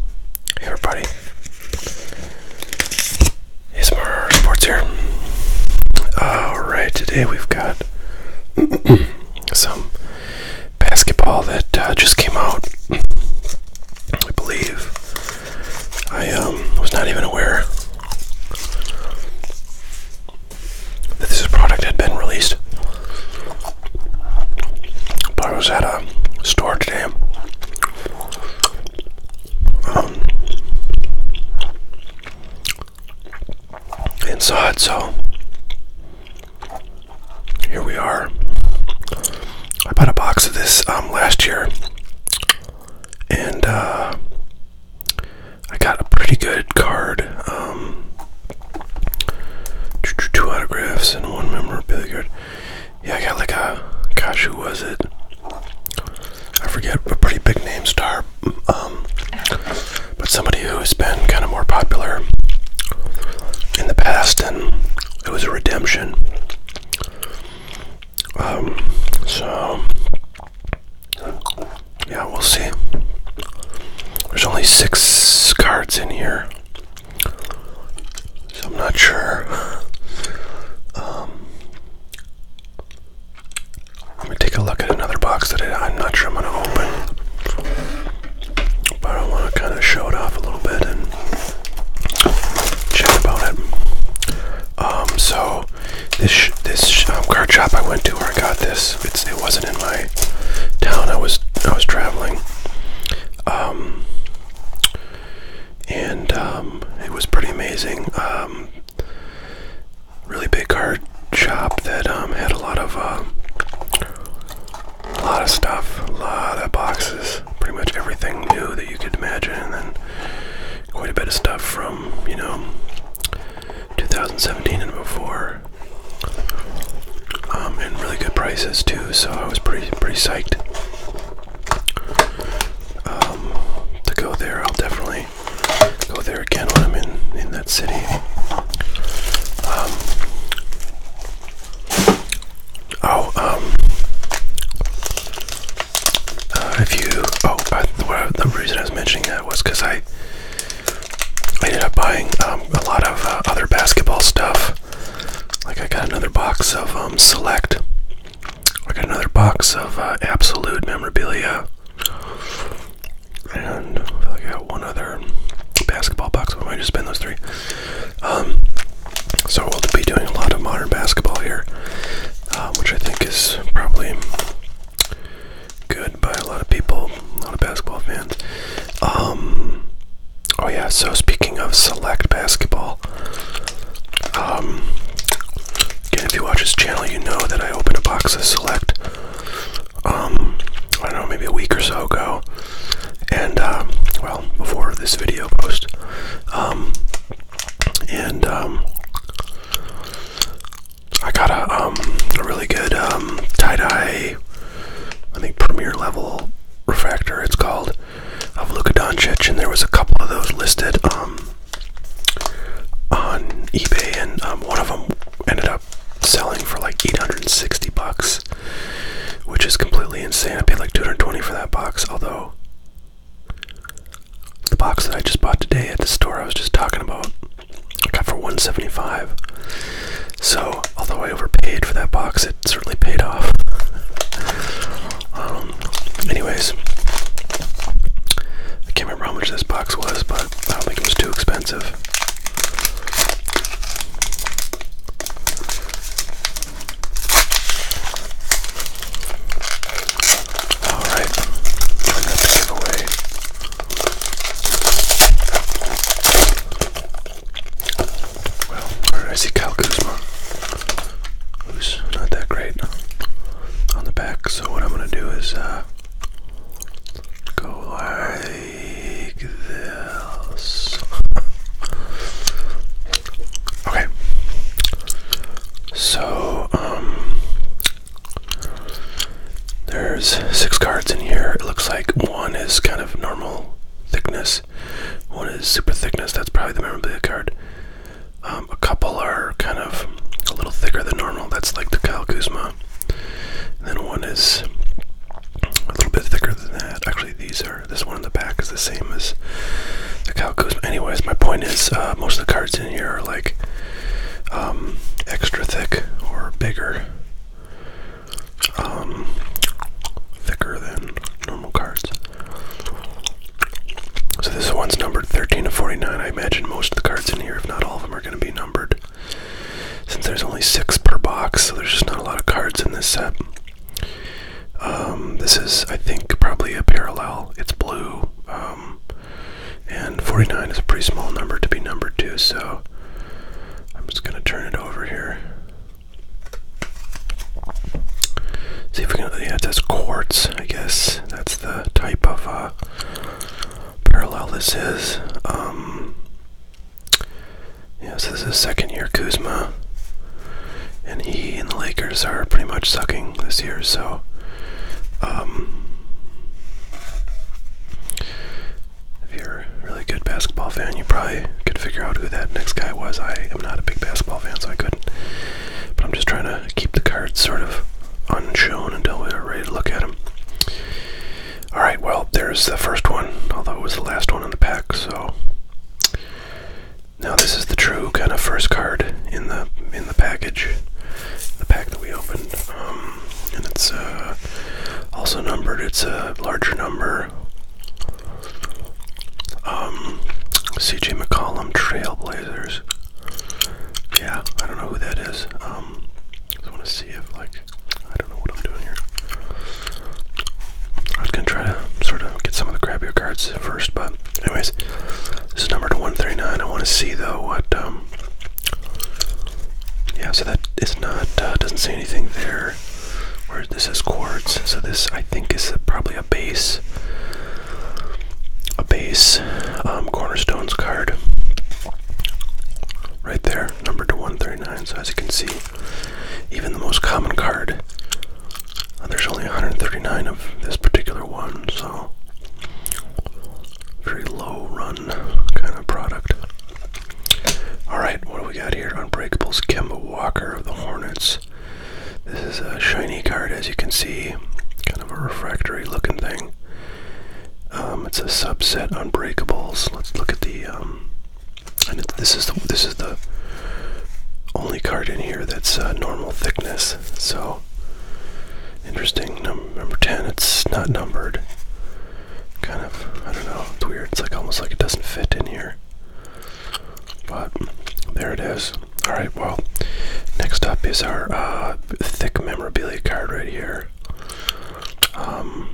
Hey everybody, it's more sports here. Alright, today we've got some basketball that uh, just came out. I believe I um, was not even aware that this product had been released, but I was at a store today um, inside. So here we are. I bought a box of this um, last year, and uh, I got a pretty good card. Um, two autographs and one memorabilia card. Yeah, I got like a gosh, who was it? I forget a pretty big name star, um, but somebody who's been kind of more popular in the past, and it was a redemption. Um, so yeah, we'll see. There's only six cards in here. So I'm not sure. Um, let me take a look at another box that I, am not sure I'm going to open. But I want to kind of show it off a little bit and chat about it. Um, so this this um, card shop I went to where I got this, it wasn't in my town. I was I was traveling and um, it was pretty amazing. Um, really big card shop that um, had a lot of uh, a lot of stuff, a lot of boxes, pretty much everything new that you could imagine, and then quite a bit of stuff from you know 2017 and before. and really good prices too, so I was pretty pretty psyched. Um, to go there. I'll definitely go there again when I'm in, in that city. Um, oh, um, uh, if you, oh, I, the, the reason I was mentioning that was because I, I ended up buying um, a lot of uh, other basketball stuff like I got another box of um, Select. I got another box of uh, Absolute memorabilia, and I feel got one other basketball box. But I might just spend those three. Um, so we'll be doing a lot of modern basketball here, uh, which I think is probably good by a lot of people, a lot of basketball fans. Um, Oh yeah, so speaking of select basketball, um, again, if you watch this channel, you know that I opened a box of select, um, I don't know, maybe a week or so ago, and, um, well, before this video post, um, and, um, I got a, um, a really good, um, tie-dye, I think, premier level refractor, it's called, of Luka Doncic, and there was a couple of those listed um, on eBay, and um, one of them ended up selling for like 860 bucks, which is completely insane. I paid like 220 for that box, although the box that I just bought today at the store I was just talking about, I got for 175. So although I overpaid for that box, it certainly paid off. Um, anyways, I can't remember how much this box was, but I don't think it was too expensive. All right, turn that the giveaway. Well, I see Kyle Kuzma, who's not that great on the back. So what I'm gonna do is uh, go like this. okay. So um, there's six cards in here. It looks like one is kind of normal thickness. One is super thickness. That's probably the memorabilia card. Um, a couple are kind of a little thicker than normal. That's like the Kyle Kuzma. And then one is a little bit thicker than that. Actually, these are this one in the back is the same as the Kyle Kuzma. Anyways, my point is uh, most of the cards in here are like um, extra thick or bigger, um, thicker than normal cards. So this one's numbered 13 to 49. I imagine most of the cards in here, if not all of them, are going to be numbered. Since there's only six per box, so there's just not a lot of cards in this set. Um, this is, I think, probably a parallel. It's blue. Um, and 49 is a pretty small number to be numbered too. so I'm just going to turn it over here. See if we can. Yeah, it says quartz. I guess that's the type of uh, parallel this is. Um, this is second year Kuzma, and he and the Lakers are pretty much sucking this year. So, um, if you're a really good basketball fan, you probably could figure out who that next guy was. I am not a big basketball fan, so I couldn't. But I'm just trying to keep the cards sort of unshown until we're ready to look at them. Alright, well, there's the first one, although it was the last one in the pack, so. Now this is the true kind of first card in the in the package, the pack that we opened, um, and it's uh, also numbered. It's a larger number, um, CJ McCollum Trailblazers. Yeah, I don't know who that is. Um, want to see if, like, I don't know what I'm doing here. I was going to try to sort of get some of the crappier cards first, but, anyways, this is number to 139. I want to see, though, what, um, yeah, so that is not, uh, doesn't say anything there. Where this is quartz, so this, I think, is probably a base a base um, cornerstones card right there, numbered to 139. So, as you can see, even the most common card, uh, there's only 139 of this particular one, so very low run kind of product. Alright, what do we got here? Unbreakables Kemba Walker of the Hornets. This is a shiny card, as you can see, kind of a refractory looking thing. Um, it's a subset Unbreakables. Let's look at the. Um, and this is the this is the only card in here that's uh, normal thickness. So interesting. number ten. It's not numbered. Kind of. I don't know. It's weird. It's like almost like it doesn't fit in here. But there it is. All right, well, next up is our uh, thick memorabilia card right here. Um,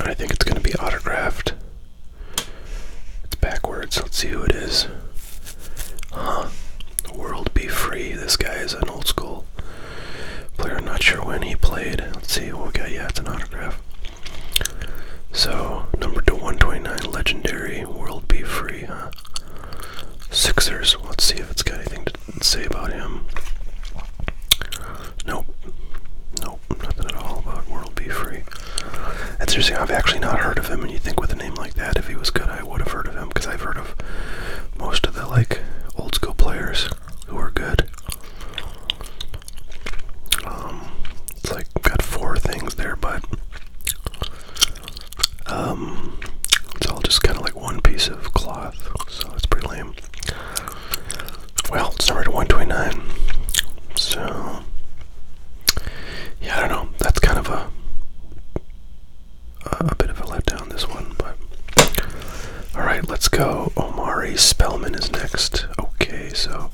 I think it's going to be autographed. It's backwards. Let's see who it is. Huh. World be free. This guy is an old school player. Not sure when he played. Let's see. What we got? Yeah, it's an autograph. So number to 129, legendary. World be free. Huh. Sixers. Let's see if it's got anything to say about him. Nope. Nope. Nothing at all about World Be Free. It's interesting. I've actually not heard of him, and you think with a name like that, if he was good, I would have heard of him because I've heard of most of the like old school players who are good. Um, it's like got four things there, but um, it's all just kind of like one piece of cloth, so it's pretty lame. Well, it's number 129. So, yeah, I don't know. That's kind of a a bit of a letdown this one, but all right, let's go. Omari Spellman is next. Okay, so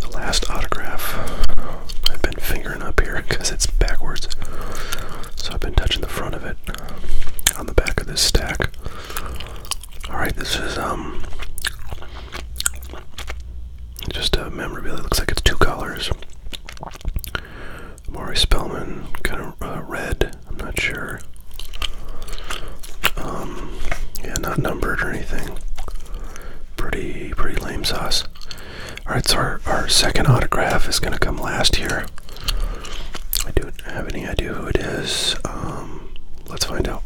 the last autograph I've been fingering up here because it's backwards. So I've been touching the front of it on the back of this stack. Alright, this is um just a memorabilia. It looks like it's two colors. Maury Spellman, kind of uh, red. I'm not sure. Um, yeah, not numbered or anything. Pretty, pretty lame sauce. Alright, so our, our second autograph is going to come last here. I don't have any idea who it is. Um, let's find out.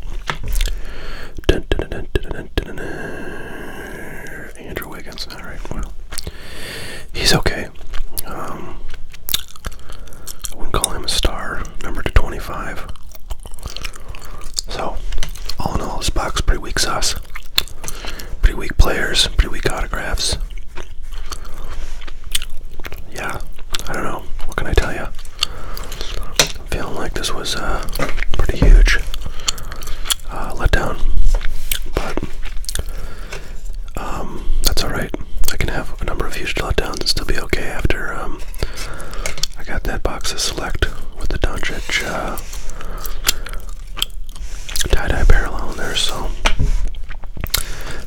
Andrew Wiggins. Alright, well. He's okay. Um, I wouldn't call him a star. Number to 25. So, all in all, this box pretty weak sauce. Pretty weak players, pretty weak autographs. Yeah, I don't know. What can I tell you? feeling like this was a uh, pretty huge uh, letdown, but um, that's alright. I can have a number of huge letdowns and still be okay after um, I got that box of select with the Doncic uh, tie-dye parallel in there, so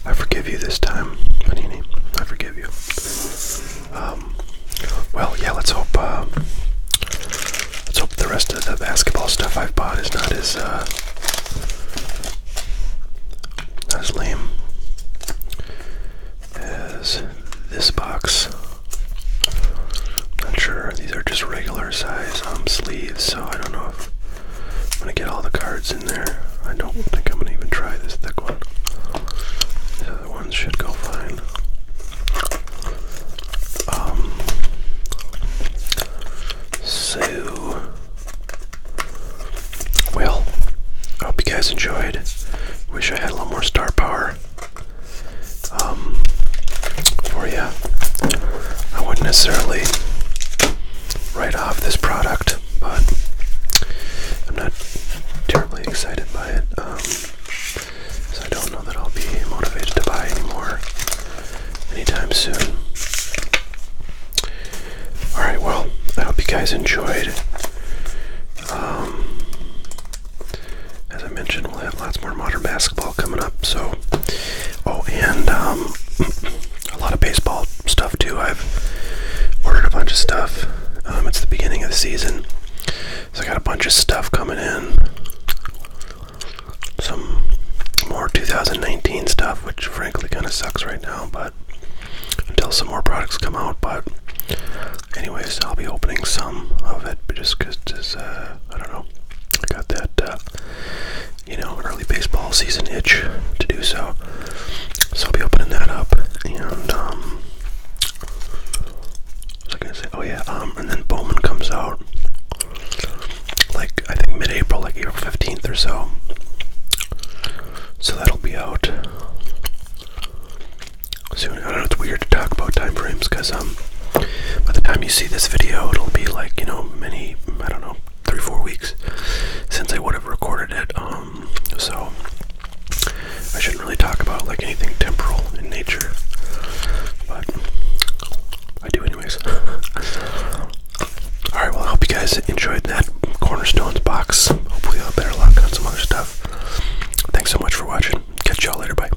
I forgive you this time, Panini. I forgive you. Um, well, yeah, let's hope, uh, let's hope the rest of the basketball stuff I've bought is not as, uh, as lame as this box. Not sure. These are just regular size um, sleeves, so I don't know if I'm gonna get all the cards in there. I don't think I'm gonna even try this thick one. The other ones should go fine. Um. So, well, I hope you guys enjoyed. Wish I had a little more star power um, for yeah, I wouldn't necessarily write off this product, but I'm not terribly excited by it. Um, so I don't know that I'll be motivated to buy anymore anytime soon. Alright, well, I hope you guys enjoyed. Um, as I mentioned, we'll have lots more modern basketball coming up. So, oh, and um, a lot of baseball stuff too. I've ordered a bunch of stuff. Um, it's the beginning of the season, so I got a bunch of stuff coming in. Some more 2019 stuff, which frankly kind of sucks right now, but until some more products come out. But, anyways, I'll be opening some of it just because, uh, I don't know. I got that, uh, you know, early baseball season itch to do so. So I'll be opening that up, and um, was I gonna say? Oh yeah, um, and then Bowman comes out, like I think mid-April, like April fifteenth or so. So that'll be out soon. I don't know. It's weird to talk about time frames because um, by the time you see this video, it'll be like, you know, many, I don't know, three, four weeks since I would have recorded it. Um, so I shouldn't really talk about like anything temporal in nature, but I do anyways. All right, well, I hope you guys enjoyed that Cornerstones box. Hopefully, I'll better luck on some other stuff. Thanks so much for watching. Catch y'all later. Bye.